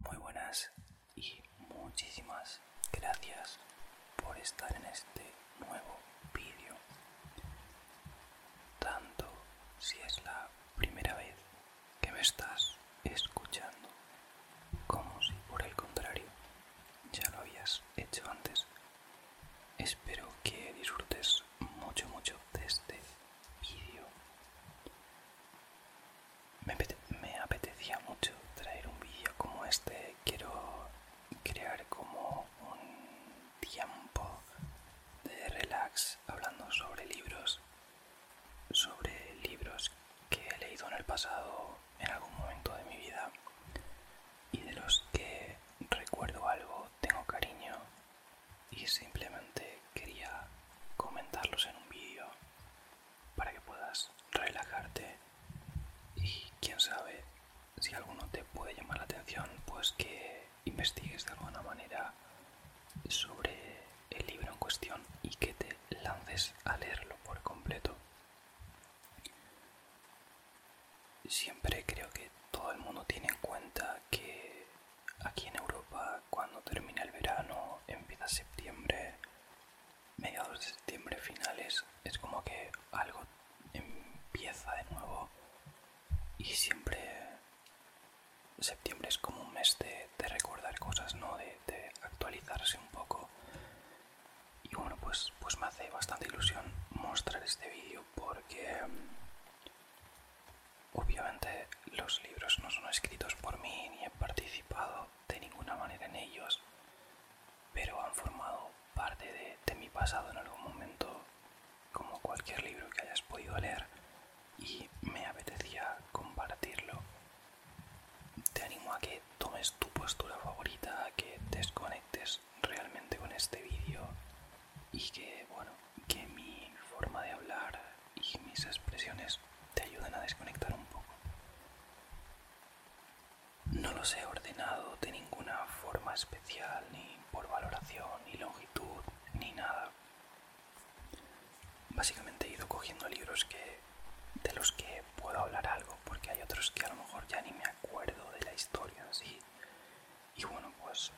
Muy buenas y muchísimas gracias por estar en este nuevo vídeo. Tanto si es la primera vez que me estás escuchando como si por el contrario ya lo habías hecho antes. Espero que disfrutes mucho, mucho de este vídeo. Me, apetecía mucho traer un vídeo como este. Quiero crear como un tiempo de relax hablando sobre libros, sobre libros que he leído en el pasado en algún momento de mi vida y de los que recuerdo algo, tengo cariño y simplemente quería comentarlos en un vídeo para que puedas relajarte y quién sabe si alguno te puede llamar la atención pues que investigues de alguna manera sobre el libro en cuestión y que te lances a leerlo por completo siempre creo que todo el mundo tiene en cuenta que Aquí en Europa, cuando termina el verano, empieza septiembre, mediados de septiembre, finales, es como que algo empieza de nuevo. Y siempre septiembre es como un mes de, recordar cosas, ¿no? De, de, actualizarse un poco. Y bueno, pues, pues me hace bastante ilusión mostrar este vídeo porque Obviamente los libros no son escritos por mí ni he participado de ninguna manera en ellos, pero han formado parte de, mi pasado en algún momento, como cualquier libro que hayas podido leer, y me apetecía compartirlo. Te animo a que tomes tu postura favorita, a que desconectes realmente con este vídeo y que, bueno, que mi forma de hablar y mis expresiones te ayuden a desconectar un poco. No los he ordenado de ninguna forma especial, ni por valoración, ni longitud, ni nada. Básicamente he ido cogiendo libros que de los que puedo hablar algo, porque hay otros que a lo mejor ya ni me acuerdo de la historia, así y bueno pues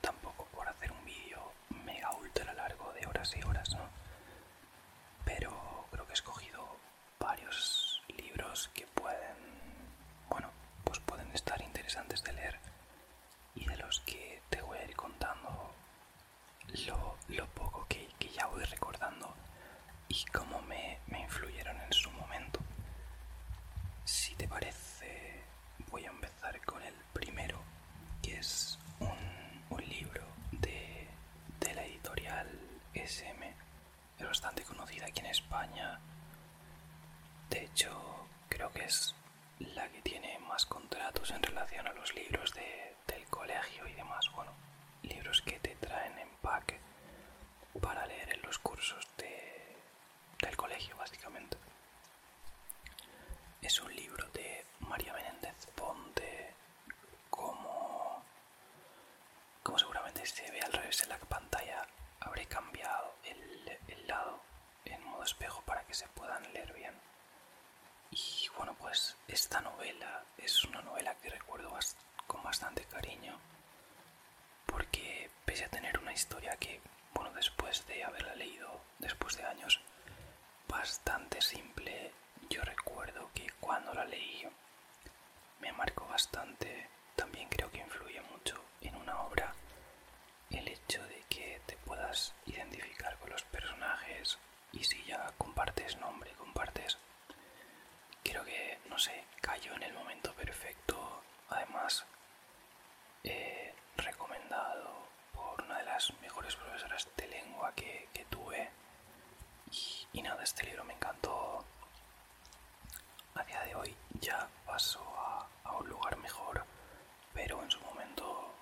tampoco por hacer un vídeo mega ultra largo de horas y horas no pero creo que he escogido varios libros que pueden bueno pues pueden estar interesantes de leer y de los que te voy a ir contando lo, poco que, ya voy recordando y cómo me, influyeron en su momento si te parece voy a con el primero, que es un, libro de, la editorial SM. bastante conocida aquí en España. De hecho, creo que es la que tiene más contratos en relación a los libros del colegio y demás. Bueno, libros que te traen en pack para leer en los cursos de, del colegio, básicamente. Es un libro de María Menéndez Ponte, como, como seguramente se ve al revés en la pantalla, habré cambiado el, lado en modo espejo para que se puedan leer bien. Y bueno, pues esta novela es una novela que recuerdo con bastante cariño, porque pese a tener una historia que, bueno, después de haberla leído después de años, bastante simple. Yo recuerdo que cuando la leí me marcó bastante. También creo que influye mucho en una obra el hecho de que te puedas identificar con los personajes y si ya compartes nombre, compartes... Creo que, no sé, cayó en el momento perfecto. Además, eh, recomendado por una de las mejores profesoras de lengua que, tuve. Y, nada, este libro me encantó. A día de hoy ya pasó a, un lugar mejor, pero en su momento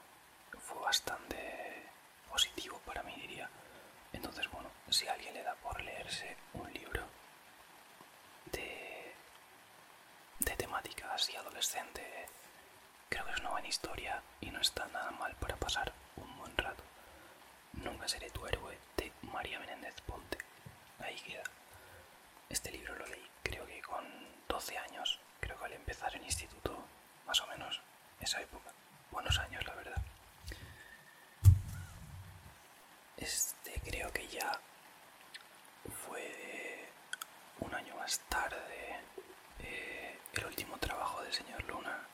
fue bastante positivo para mí, diría. Entonces, bueno, si alguien le da por leerse un libro de, de temática así adolescente Creo que es una buena historia y no está nada mal para pasar un buen rato. Nunca seré tu héroe de María Menéndez Ponte. Ahí queda. Este libro lo leí creo que con 12 años, creo que al empezar el instituto, más o menos, esa época. Buenos años, la verdad. Este creo que ya fue un año más tarde, eh, el último trabajo del señor Luna,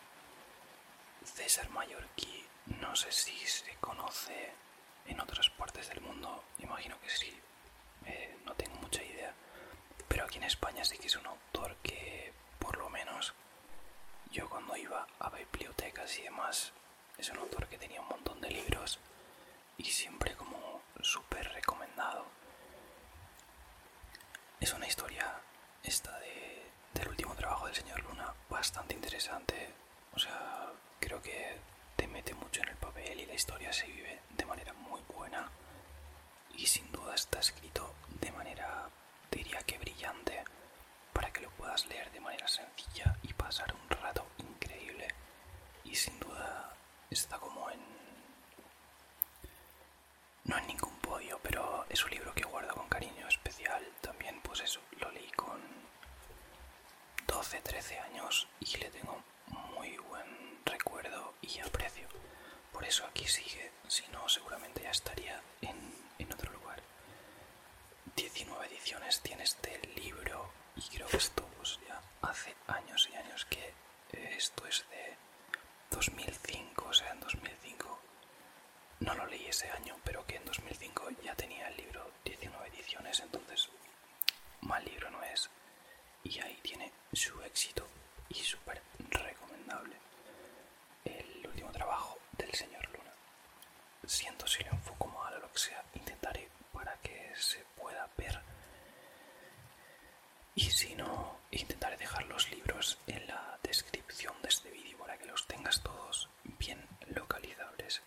César Mallorquí, no sé si se conoce en otras partes del mundo, imagino que sí, eh, no tengo mucha idea, pero aquí en España sí que es un autor que, por lo menos, yo cuando iba a bibliotecas y demás, es un autor que tenía un montón de libros y siempre como super súper recomendado. Es una historia esta de, del último trabajo del señor Luna bastante interesante. O sea, creo que te mete mucho en el papel y la historia se vive de manera muy buena. Y sin duda está escrito de manera, diría que brillante, para que lo puedas leer de manera sencilla y pasar un rato increíble. Y sin duda está como en no es ningún podio, pero es un libro que guardo con cariño especial. También, pues eso, lo leí con 12, 13 años y le tengo muy buen recuerdo y aprecio. Por eso aquí sigue, si no, seguramente ya estaría en, en otro lugar. 19 ediciones tiene este libro y creo que esto ya hace años y años que esto es de 2005, o sea, en 2005 no lo leí ese año, pero que en 2005 ya tenía el libro 19 ediciones, entonces mal libro no es. Y ahí tiene su éxito y súper recomendable. El último trabajo del señor Luna. Siento si le enfoco mal o lo que sea, intentaré para que se pueda ver y si no intentaré dejar los libros en la descripción de este vídeo para que los tengas todos bien localizables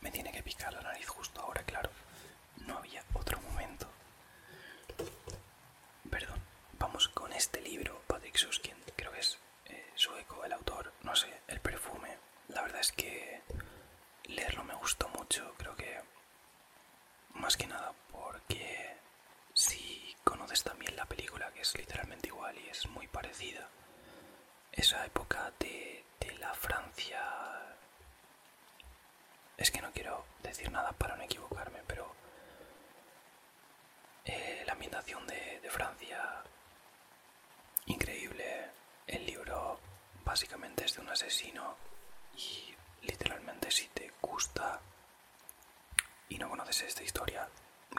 me tiene que picar la nariz justo ahora claro no había otro momento perdón vamos con este libro Patrick Suskin creo que es eh, sueco el autor no sé el perfume la verdad es que leerlo me gustó mucho creo que más que nada porque si conoces también la película, que es literalmente igual y es muy parecida, esa época de, la Francia... Es que no quiero decir nada para no equivocarme, pero eh, la ambientación de, de Francia, increíble, el libro básicamente es de un asesino y literalmente si te gusta y no conoces esta historia,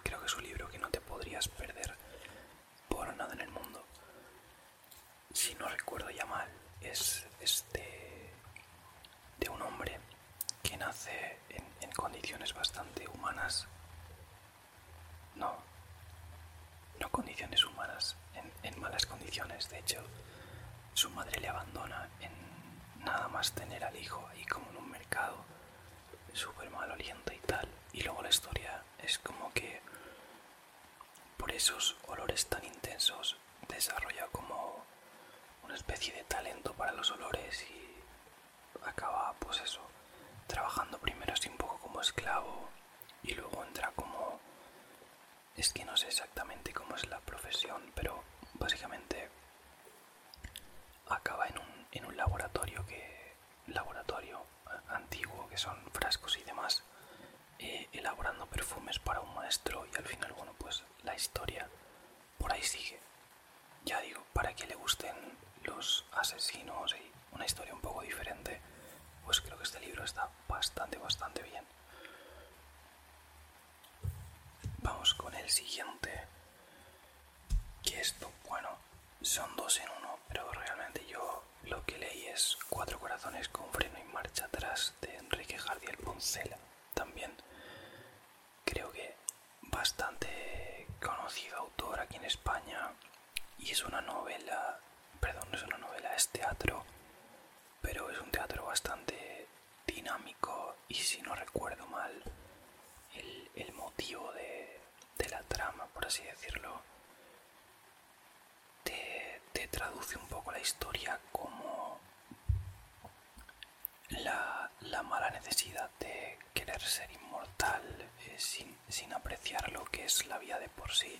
creo que es un libro que no te podrías perder por nada en el mundo. Si no recuerdo ya mal, es este de un hombre que nace en, condiciones bastante humanas. No, no condiciones humanas, en malas condiciones, de hecho su madre le abandona en nada más tener al hijo ahí como en un mercado súper mal oliente y tal. Y luego la historia es como que por esos olores tan intensos desarrolla como una especie de talento para los olores y acaba pues eso, trabajando primero así un poco como esclavo y luego entra como es que no sé exactamente cómo es la profesión, pero básicamente acaba en un, laboratorio que laboratorio eh, antiguo que son frascos y demás eh, elaborando perfumes para un maestro y al final bueno pues la historia por ahí sigue ya digo para que le gusten los asesinos y una historia un poco diferente pues creo que este libro está bastante bastante bien Vamos con el siguiente. Que esto, bueno, son dos en uno, pero realmente yo lo que leí es Cuatro corazones con freno y marcha atrás de Enrique Jardiel Poncela. También creo que bastante conocido autor aquí en España y es una novela, perdón, no es una novela, es teatro pero es un teatro bastante dinámico y si no recuerdo mal el, motivo de, la trama, por así decirlo, te, traduce un poco la historia como la, mala necesidad de querer ser inmortal eh, sin, sin apreciar lo que es la vida de por sí.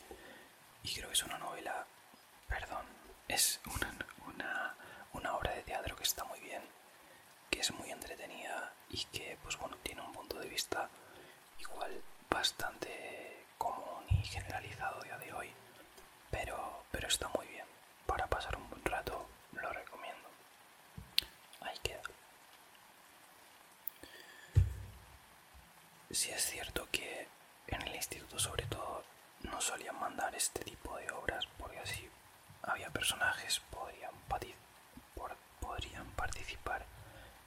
Y creo que es una novela Perdón, es una, obra de teatro que está muy bien, que es muy entretenida y que, pues bueno, tiene un punto de vista igual bastante común y generalizado día de hoy, pero, está muy bien. Para pasar un buen rato lo recomiendo. Ahí queda. Si es cierto que en el instituto sobre todo no solían mandar este tipo de obras porque así había personajes, podrían, podrían participar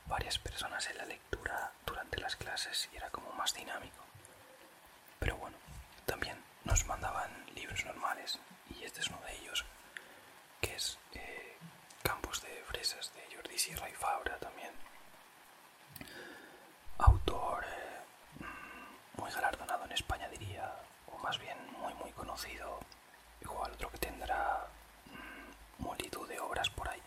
varias personas en la lectura durante las clases y era como más dinámico. Pero bueno, también nos mandaban libros normales y este es uno de ellos, que es eh, Campos de Fresas de Jordi Sierra y Fabra también. Autor eh, mm, muy galardonado en España, diría, o más bien muy, muy conocido. Igual otro que tendrá mm, multitud de obras por ahí.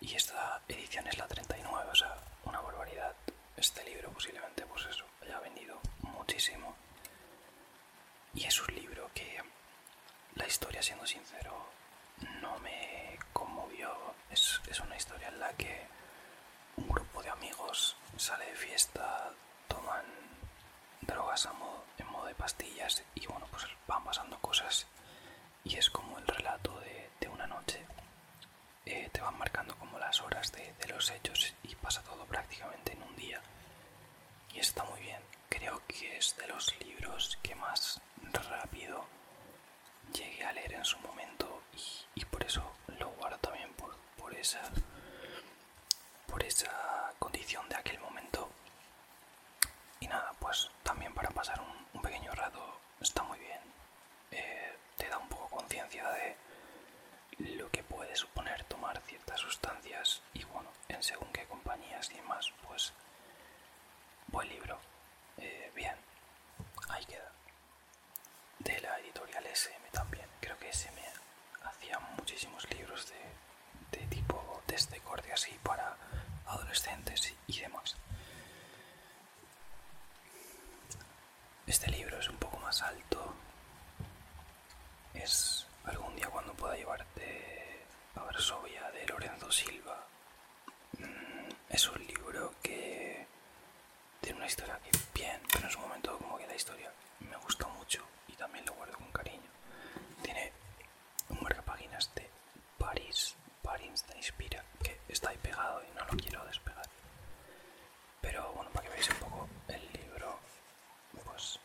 Y esta edición es la 39, o sea, una barbaridad. Este libro posiblemente, pues eso, haya vendido muchísimo. Y es un libro que, la historia, siendo sincero, no me conmovió. Es, es una historia en la que un grupo de amigos sale de fiesta, toman drogas modo, en modo de pastillas y bueno, pues van pasando cosas y es como el relato de, una noche. Eh, te van marcando como las horas de los hechos y pasa todo prácticamente en un día. Y está muy bien. Creo que es de los libros que más rápido llegué a leer en su momento y, por eso lo guardo también por, esa, por esa condición de aquel momento. Y nada, pues también para pasar un, pequeño rato está muy bien. Eh, te da un poco conciencia de lo que puede suponer tomar ciertas sustancias y bueno, en según qué compañías y demás, pues buen libro. Eh, bien, ahí queda de la editorial SM también. Creo que SM hacía muchísimos libros de, tipo test de así para adolescentes y demás. Este libro es un poco más alto. Es algún día cuando pueda llevarte a Varsovia de Lorenzo Silva. Mm, es un libro que tiene una historia que bien, pero en su momento como que la historia me gustó mucho y también lo guardo con cariño. Tiene un marcapáginas de París, Paris de inspira, que está ahí pegado y no lo quiero despegar. Pero bueno, para que veáis un poco el libro, pues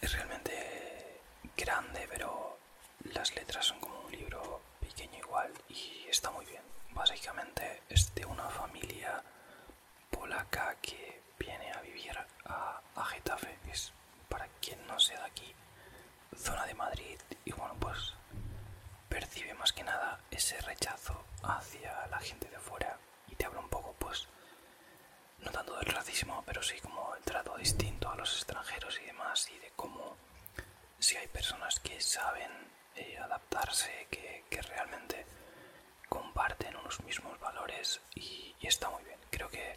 es realmente grande, pero las letras son como un libro pequeño igual y está muy bien. Básicamente es de una familia polaca que viene a vivir a, Getafe, Getafe, es para quien no sea de aquí, zona de Madrid y bueno pues percibe más que nada ese rechazo hacia la gente de fuera y te habla un poco pues no tanto del racismo pero sí como el trato distinto a los extranjeros y demás y de cómo si hay personas que saben eh, adaptarse, que, realmente comparten unos mismos valores y, está muy bien. Creo que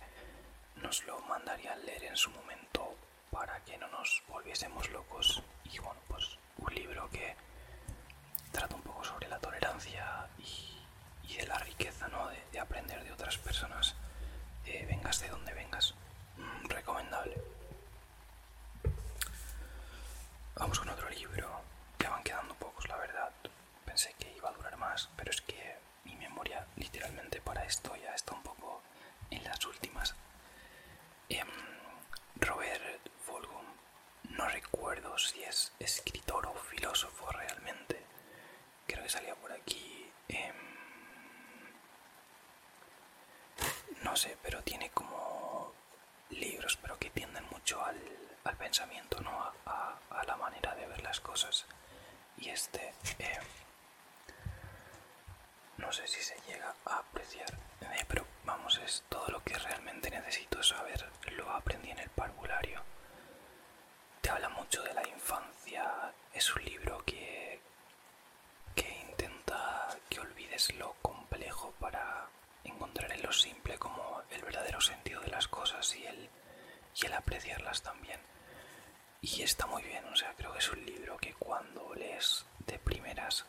nos lo mandaría a leer en su momento para que no nos volviésemos locos. Y bueno, pues un libro que trata un poco sobre la tolerancia y, de la riqueza, ¿no? De, aprender de otras personas, eh, vengas de donde vengas recomendable. Vamos con otro libro. que van quedando pocos, la verdad. Pensé que iba a durar más, pero es que mi memoria literalmente para esto ya está un poco en las últimas. Em, Robert Volgum, no recuerdo si es escritor o filósofo realmente. Creo que salía por aquí. Em, no sé, pero tiene como libros, pero que tienden mucho al, pensamiento, ¿no? A, la manera de ver las cosas. Y este, eh, no sé si se llega a apreciar, eh, pero vamos, es todo lo que realmente necesito saber. Lo aprendí en el parvulario. Te habla mucho de la infancia. Es un libro que que intenta que olvides lo complejo para encontrar en lo simple como el verdadero sentido de las cosas y el, y el apreciarlas también. Y está muy bien, o sea, creo que es un libro que cuando lees de primeras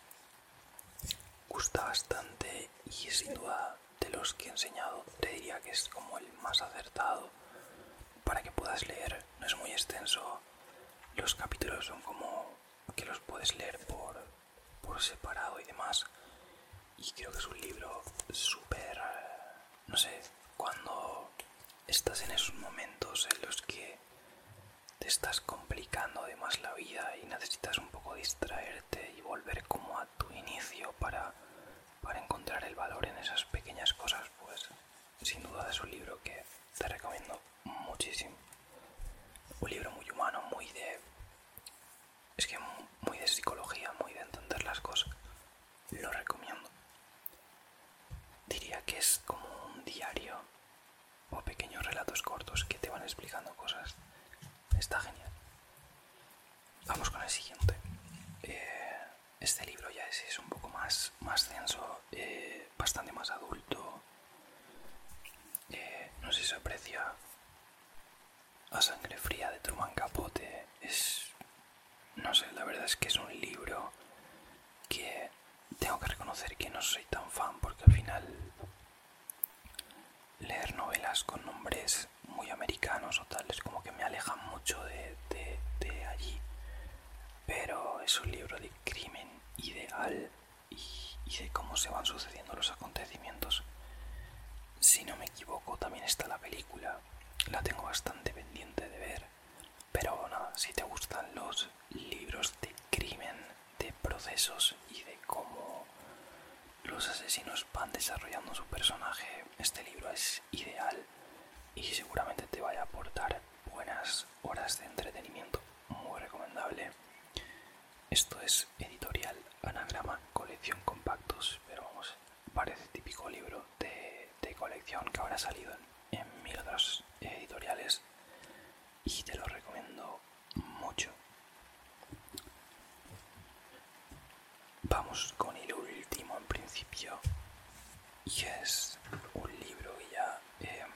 gusta bastante y sin duda de los que he enseñado te diría que es como el más acertado para que puedas leer. No es muy extenso, los capítulos son como que los puedes leer por, separado y demás. Y creo que es un libro súper... No sé, cuando estás en esos momentos en los que te estás complicando además la vida y necesitas un poco distraerte y volver como a tu inicio para, para encontrar el valor en esas pequeñas cosas, pues sin duda es un libro que te recomiendo muchísimo. Un libro muy humano, muy de... Es que muy de psicología, muy de entender las cosas. Lo recomiendo. Diría que es como un diario o pequeños relatos cortos que te van explicando cosas. Está genial. Vamos con el siguiente. Eh, este libro ya es, un poco más, más denso. Eh, bastante más adulto. Eh, no sé si se aprecia a sangre fría de Truman Capote. Es. No sé, la verdad es que es un libro que tengo que reconocer que no soy tan fan porque al final leer novelas con nombres muy americanos o tales como que me alejan mucho de, de allí. Pero es un libro de crimen ideal y, de cómo se van sucediendo los acontecimientos. Si no me equivoco, también está la película. La tengo bastante pendiente de ver. Pero nada, si te gustan los libros de crimen, de procesos y de cómo los asesinos van desarrollando su personaje, este libro es ideal y seguramente te vaya a aportar buenas horas de entretenimiento muy recomendable. Esto es editorial Anagrama Colección Compactos, pero vamos, parece típico libro de, colección que habrá salido en, en mil otras editoriales y te lo recomiendo mucho. Vamos con el último en principio y es un libro que ya em,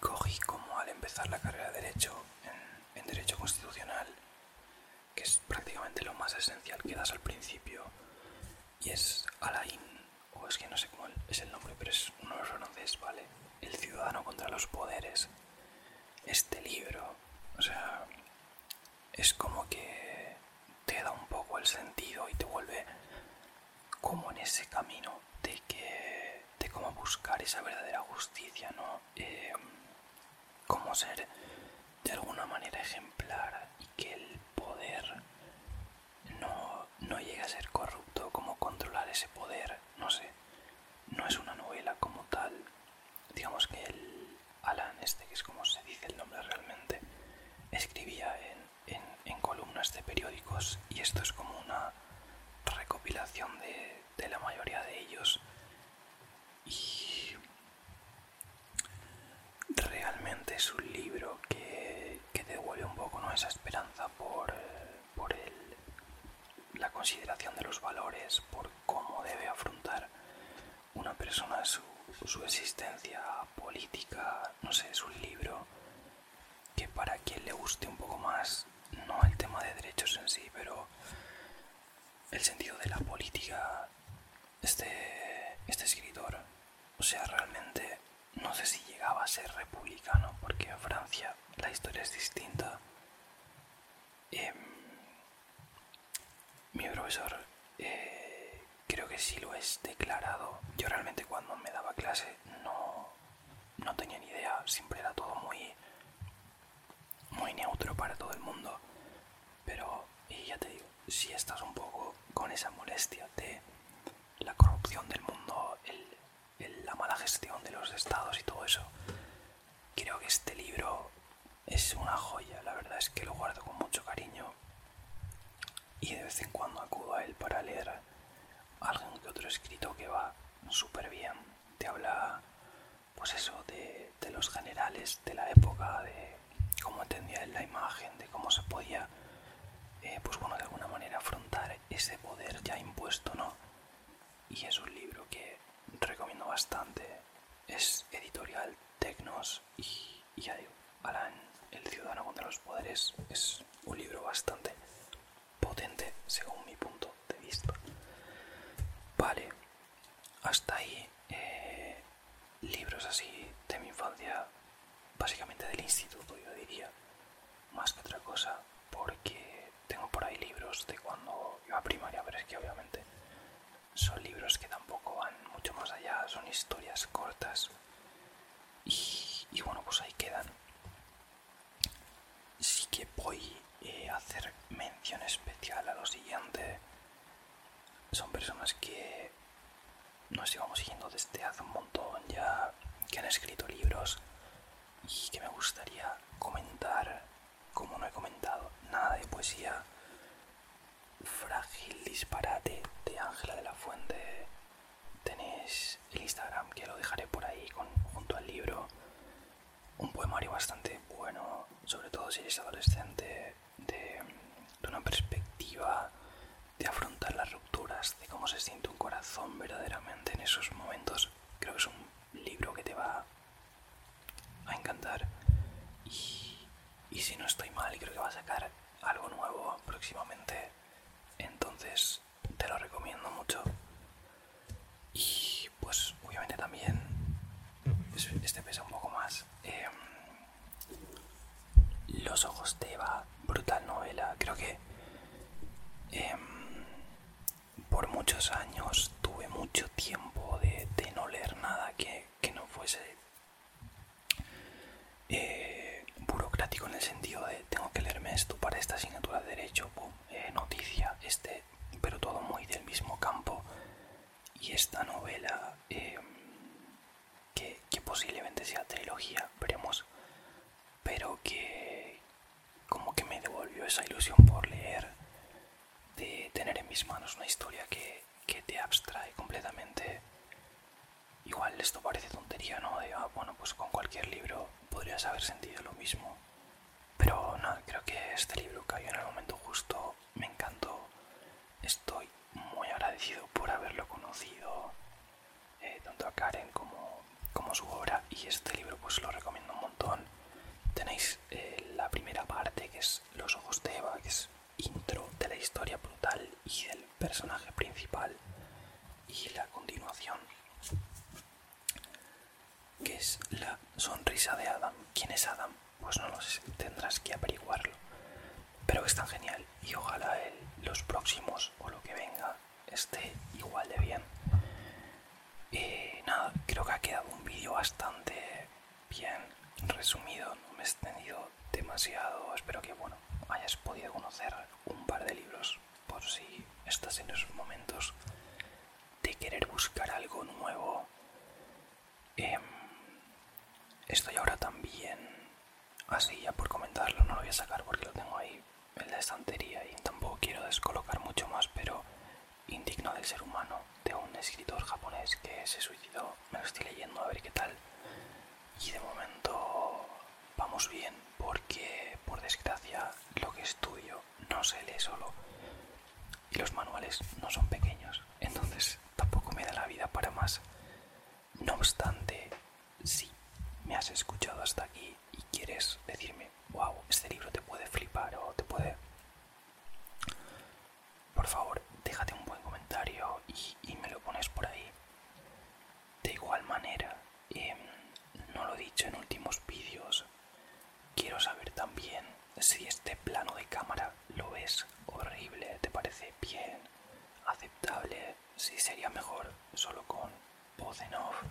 cogí como al empezar la carrera de Derecho en, Derecho Constitucional, que es prácticamente lo más esencial que das al principio, y es Alain, o es que no sé cómo es el nombre, pero es uno de los ¿vale? El ciudadano contra los poderes. Este libro, o sea, es como que te da un poco el sentido y te vuelve como en ese camino de que de cómo buscar esa verdadera justicia no como eh, cómo ser de alguna manera ejemplar y que el poder no, no llegue a ser corrupto cómo controlar ese poder no sé no es una novela como tal digamos que el Alan este que es como se dice el nombre realmente escribía en en, columnas de periódicos y esto es como una recopilación de, la mayoría de ellos y realmente es un libro que, devuelve un poco esa esperanza por, por el, la consideración de los valores, por cómo debe afrontar una persona su, su existencia política. No sé, es un libro que para quien le guste un poco más, no el tema de derechos en sí, pero el sentido de la política, este, este escritor, o sea, realmente no sé si llegaba a ser republicano, porque en Francia la historia es distinta. Em, mi profesor eh, creo que sí lo es declarado. Yo realmente cuando me daba clase no, tenía ni idea, siempre era todo muy, muy neutro para todo el mundo. Pero, y ya te digo, si estás un poco con esa molestia de la corrupción del mundo, la mala gestión de los estados y todo eso, creo que este libro es una joya, la verdad es que lo guardo con mucho cariño y de vez en cuando acudo a él para leer algo que otro escrito que va súper bien. Te habla, pues eso, de, los generales de la época, de cómo entendía él la imagen, de cómo se podía, eh, pues bueno, de alguna manera afrontar ese poder ya impuesto, ¿no? Y es un libro que recomiendo bastante. Es editorial Tecnos y, y ya digo, Alan, el ciudadano contra los poderes, es un libro bastante potente según mi punto de vista. Vale, hasta ahí eh, libros así de mi infancia, básicamente del instituto yo diría, más que otra cosa, porque tengo por ahí libros de cuando iba a primaria, pero es que obviamente son libros que tampoco van mucho más allá, son historias cortas y, bueno, pues ahí quedan. Sí que voy eh, a hacer mención especial a lo siguiente. Son personas que nos llevamos siguiendo desde hace un montón ya, que han escrito libros y que me gustaría comentar, como no he comentado nada de poesía, Frágil Disparate de Ángela de la Fuente tenéis el Instagram que lo dejaré por ahí junto al libro. Un poemario bastante bueno, sobre todo si eres adolescente, de, una perspectiva de afrontar las rupturas, de cómo se siente un corazón verdaderamente en esos momentos. Creo que es un libro que te va a encantar. Y, y si no estoy mal, creo que va a sacar algo nuevo próximamente. Entonces te lo recomiendo mucho. Y pues obviamente también este pesa un poco más. Em, Los ojos de Eva, brutal novela. Creo que em, por muchos años tuve mucho tiempo de, no leer nada que, que no fuese eh, burocrático en el sentido de tengo que leerme esto para esta asignatura de derecho, eh, noticia, este, pero todo muy del mismo campo. Y esta novela, eh, que, posiblemente sea trilogía, veremos, pero que como que me devolvió esa ilusión por leer, de tener en mis manos una historia que, que te abstrae completamente Igual esto parece tontería, ¿no? De, ah, bueno, pues con cualquier libro podrías haber sentido lo mismo. Pero no, creo que este libro cayó en el momento justo, me encantó. Estoy muy agradecido por haberlo conocido, eh, tanto a Karen como, como su obra, y este libro pues lo recomiendo un montón. Tenéis eh, la primera parte, que es Los ojos de Eva, que es intro de la historia brutal y del personaje principal y la continuación, que es la sonrisa de Adam. ¿Quién es Adam? Pues no lo sé, tendrás que averiguarlo. Pero es tan genial y ojalá los próximos o lo que venga esté igual de bien. Eh, nada, creo que ha quedado un vídeo bastante bien resumido, no me he extendido demasiado, espero que bueno, hayas podido conocer un par de libros por si estás en esos momentos de querer buscar algo nuevo. Em, estoy ahora también, así ya por comentarlo, no lo voy a sacar porque lo tengo ahí en la estantería y tampoco quiero descolocar mucho más, pero indigno del ser humano, de un escritor japonés que se suicidó, me lo estoy leyendo a ver qué tal y de momento vamos bien porque por desgracia lo que estudio no se lee solo y los manuales no son pequeños, entonces tampoco me da la vida para más. No obstante, si me has escuchado hasta aquí y quieres decirme, wow, este libro te puede flipar o te puede... Por favor, déjate un buen comentario y, y me lo pones por ahí. De igual manera, em, no lo he dicho en últimos vídeos, quiero saber también si este plano de cámara lo es horrible, te parece bien, aceptable, si sería mejor solo con voz en off.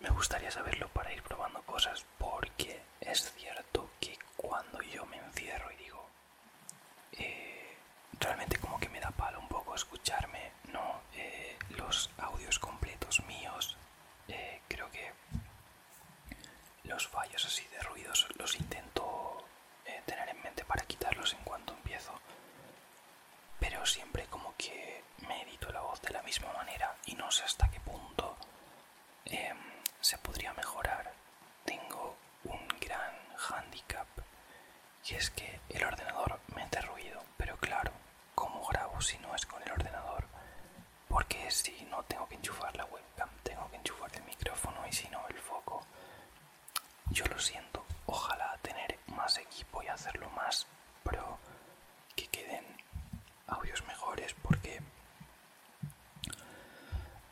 Me gustaría saberlo para ir probando cosas porque es cierto que cuando yo me encierro y digo, eh, realmente como que me da palo un poco escucharme, ¿no? Eh, los audios completos míos, eh, creo que los fallos así de ruidos los intento tener en mente para quitarlos en cuanto empiezo, pero siempre como que me edito la voz de la misma manera y no sé hasta qué punto em, se podría mejorar. Tengo un gran handicap y es que el ordenador me ruido, pero claro, ¿cómo grabo si no es con el ordenador? Porque si no tengo que enchufar la webcam, tengo que enchufar el micrófono y si no el foco. Yo lo siento, ojalá tener más equipo y hacerlo más, pero que queden audios mejores porque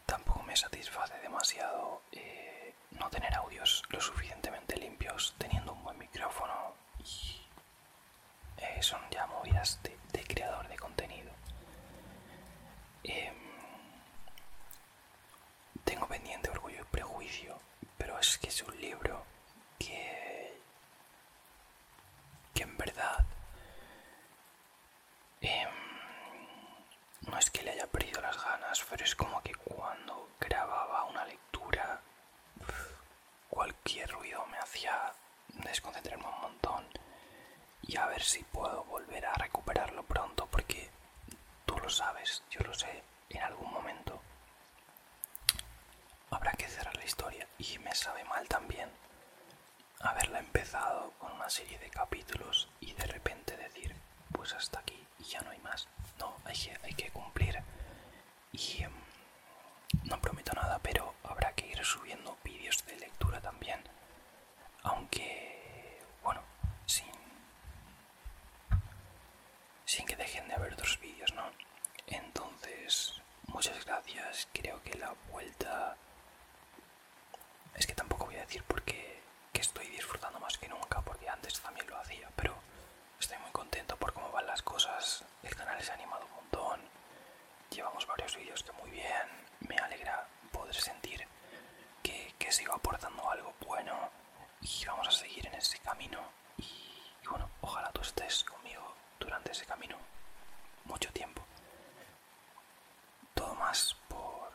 tampoco me satisface demasiado eh, no tener audios lo suficientemente limpios teniendo un buen micrófono y eh, son ya movidas de, creador de contenido. Em, tengo pendiente Orgullo y Prejuicio, pero es que es un libro que, que en verdad em, no es que le haya perdido las ganas, pero es como que cuando grababa una lectura, cualquier ruido me hacía desconcentrarme un montón y a ver si puedo volver a recuperarlo pronto porque tú lo sabes, yo lo sé, en algún momento habrá que cerrar la historia y me sabe mal también haberla empezado con una serie de capítulos y de repente decir, pues hasta aquí y ya no hay más. No, hay que, hay que cumplir. Y em, no prometo nada, pero habrá que ir subiendo vídeos de lectura también. Aunque, bueno, sin, sin que dejen de haber otros vídeos, ¿no? Entonces, muchas gracias. Creo que la vuelta... Es que tampoco voy a decir porque que estoy disfrutando más que nunca porque antes también lo hacía, pero estoy muy contento por cómo van las cosas, el canal se ha animado un montón, llevamos varios vídeos que muy bien, me alegra poder sentir que, que sigo aportando algo bueno y vamos a seguir en ese camino y bueno, ojalá tú estés conmigo durante ese camino mucho tiempo. Todo más por...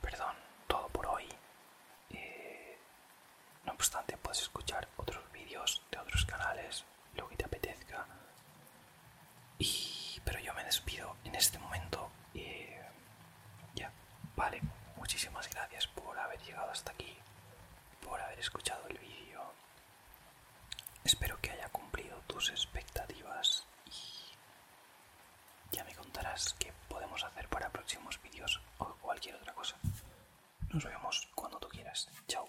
perdón, todo por hoy. Eh, no obstante, puedes escuchar otros vídeos de otros canales, lo que te apetezca. Y, pero yo me despido en este momento. y eh, ya, vale. Muchísimas gracias por haber llegado hasta aquí, por haber escuchado el vídeo. Espero que haya cumplido tus expectativas ya me contarás qué podemos hacer para próximos vídeos o cualquier otra cosa. Nos vemos cuando tú quieras. Chao.